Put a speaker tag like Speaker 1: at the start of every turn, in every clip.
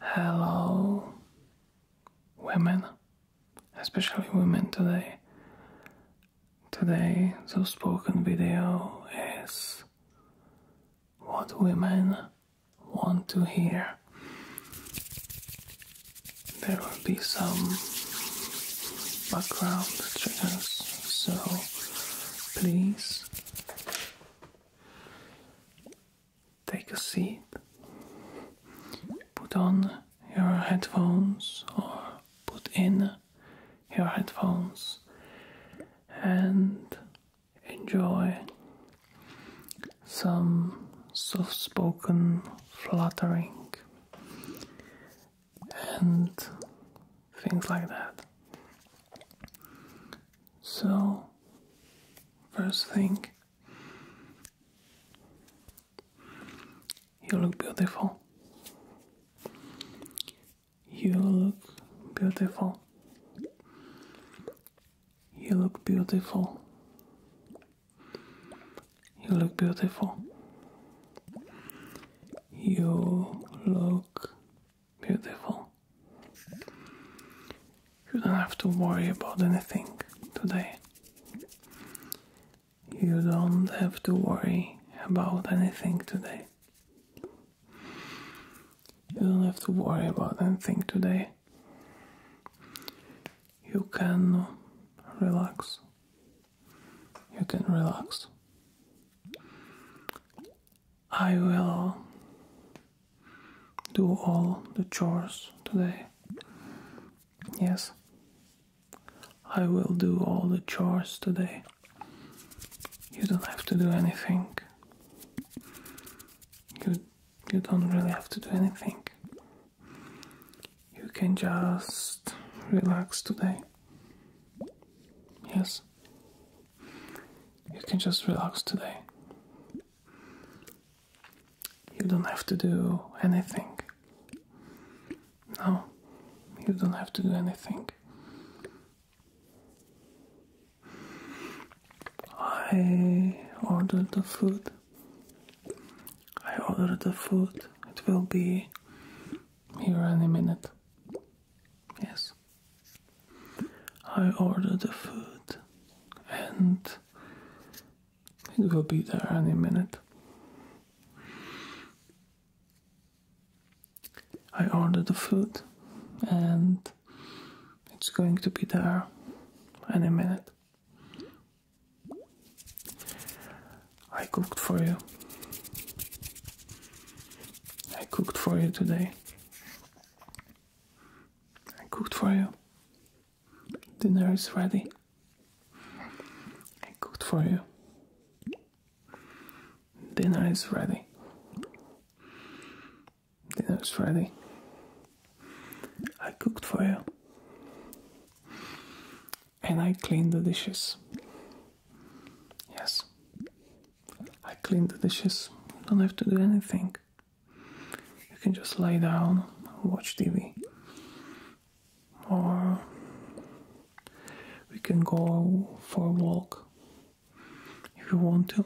Speaker 1: Hello, women, especially women today. Today, the spoken video is what women want to hear. There will be some background triggers, so please Take a seat, put on your headphones or put in your headphones and enjoy some soft spoken fluttering and things like that. So, first thing, you look beautiful. You look beautiful. You look beautiful. You look beautiful. You look Beautiful. You don't have to worry about anything today. You don't have to worry about anything today. You don't have to worry about anything today. You can relax. You can relax. I will do all the chores today. Yes, I will do all the chores today. You don't have to do anything. You, you don't really have to do anything. You can just relax today. Yes. You can just relax today. You don't have to do anything. No, you don't have to do anything. I ordered the food. I ordered the food. It will be here any minute. Yes. I ordered the food and it will be there any minute. I ordered the food and it's going to be there any minute. I cooked for you. I cooked for you today. I cooked for you. Dinner is ready. I cooked for you. Dinner is ready. Dinner is ready. I cooked for you and I clean the dishes. Yes, I clean the dishes. don't have to do anything. You can just lay down and watch TV. Or we can go for a walk if you want to.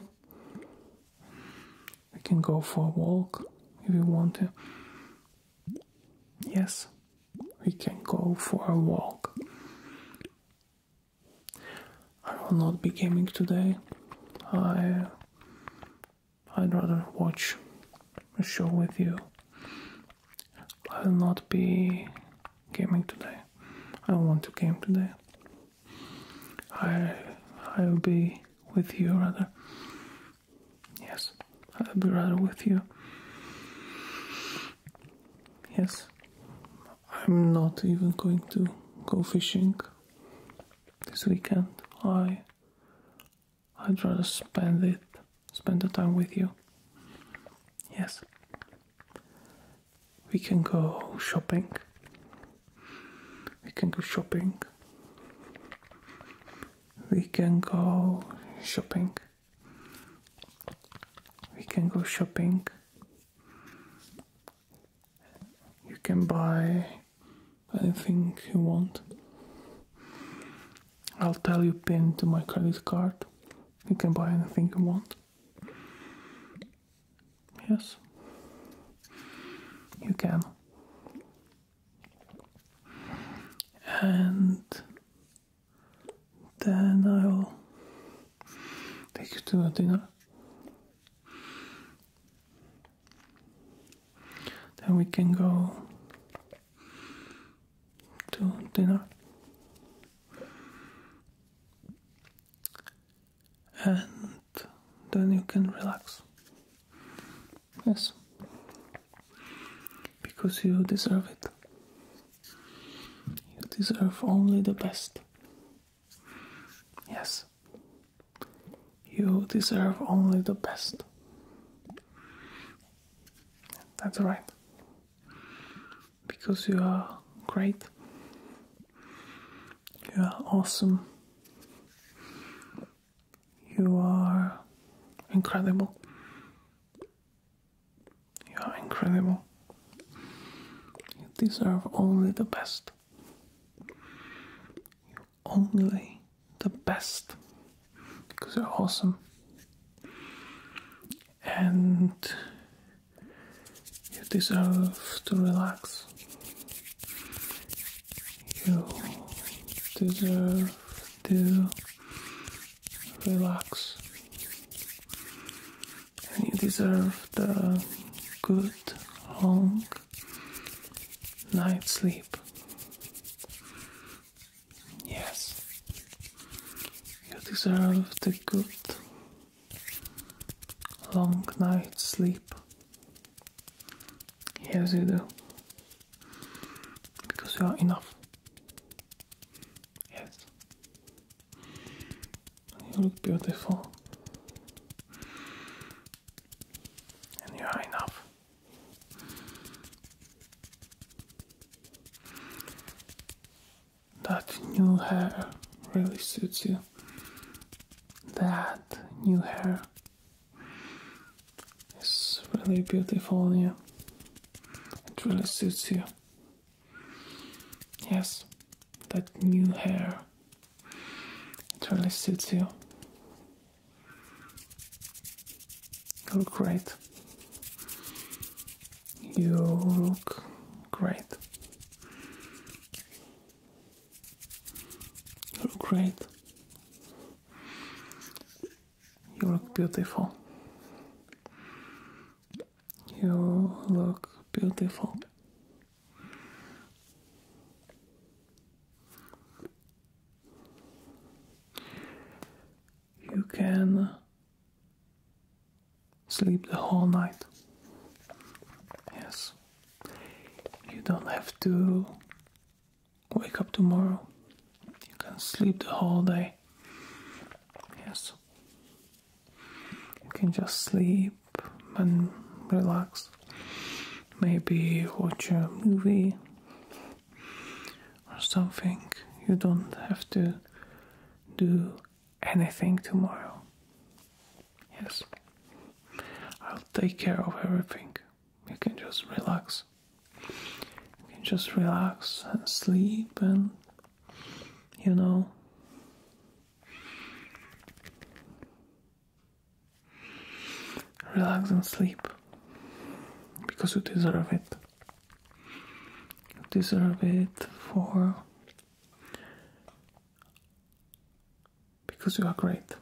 Speaker 1: We can go for a walk if you want to. Yes, we can go for a walk. I will not be gaming today. I I'd rather watch a show with you. I will not be gaming today. I don't want to game today. I I'll be with you rather. Yes. I'll be rather with you. Yes, I'm not even going to go fishing this weekend. I I'd rather spend it spend the time with you. Yes. We can go shopping. We can go shopping. We can go shopping we can go shopping. You can buy anything you want. I'll tell you pin to my credit card. You can buy anything you want. Yes. You can. And then I will take you to dinner. Then we can go to dinner. And then you can relax. Yes. Because you deserve it. You deserve only the best. Yes. You deserve only the best. That's right. Because you are great. You are awesome. You are incredible. You are incredible. You deserve only the best. You only the best because you're awesome. And you deserve to relax. You deserve to relax. And you deserve the uh, good, long night sleep. Yes, you deserve the good, long night sleep. Yes, you do because you are enough. Yes. you look beautiful. And you are enough. That new hair really suits you. That new hair it's really beautiful on you. It really suits you. Yes, that new hair. It really suits you. You look great. You look great. You look great. You look beautiful. You look beautiful. You can sleep the whole night. Yes. You don't have to Wake up tomorrow. You can sleep the whole day. Yes. You can just sleep and relax. Maybe watch a movie or something. You don't have to do anything tomorrow. Yes. I'll take care of everything you can just relax. You can just relax and sleep and you know relax and sleep because you deserve it. You deserve it for because you are great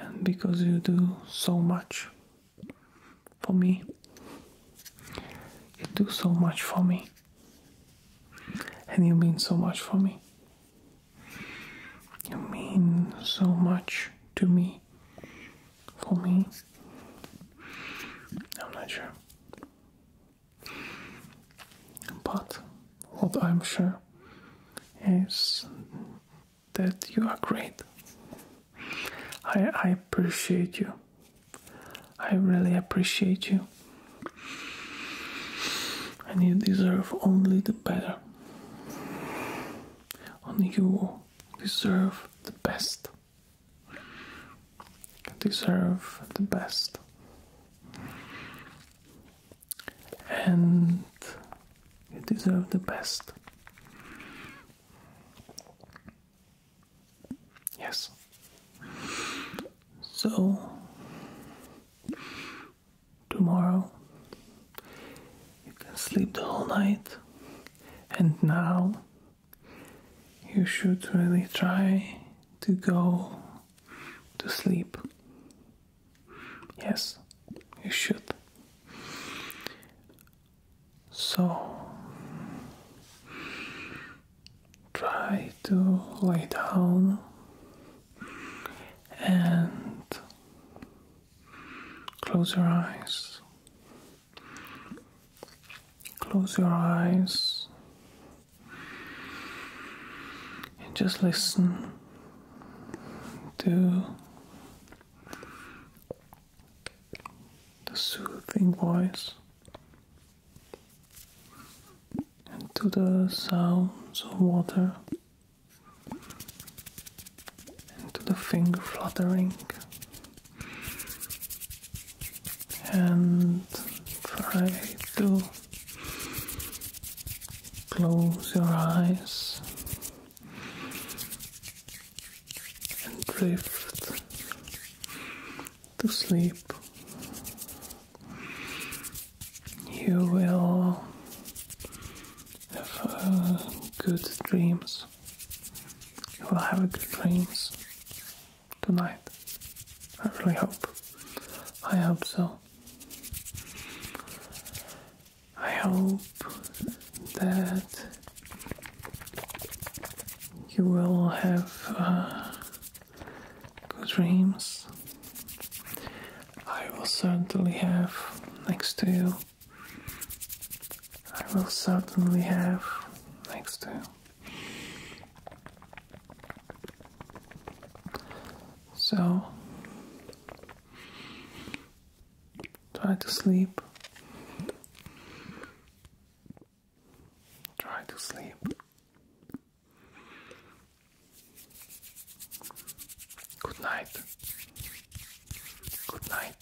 Speaker 1: and because you do so much for me. You do so much for me, and you mean so much for me. You mean so much to me, for me. I'm not sure. But what I'm sure is that you are great. I, I appreciate you. I really appreciate you. And you deserve only the better. Only you deserve the best. deserve the best and you deserve the best. Yes. So, tomorrow you can sleep the whole night, and now you should really try to go to sleep. Yes, you should. So try to lay down and close your eyes. Close your eyes and just listen to the soothing voice and to the sounds of water and to the finger fluttering and try to Close your eyes and drift to sleep. You will have uh, good dreams. You will have good dreams tonight. I really hope. I hope so. I hope that you will have uh, good dreams. I will certainly have next to you. I will certainly have next to you. So try to sleep. Try to sleep. Good night. Good night.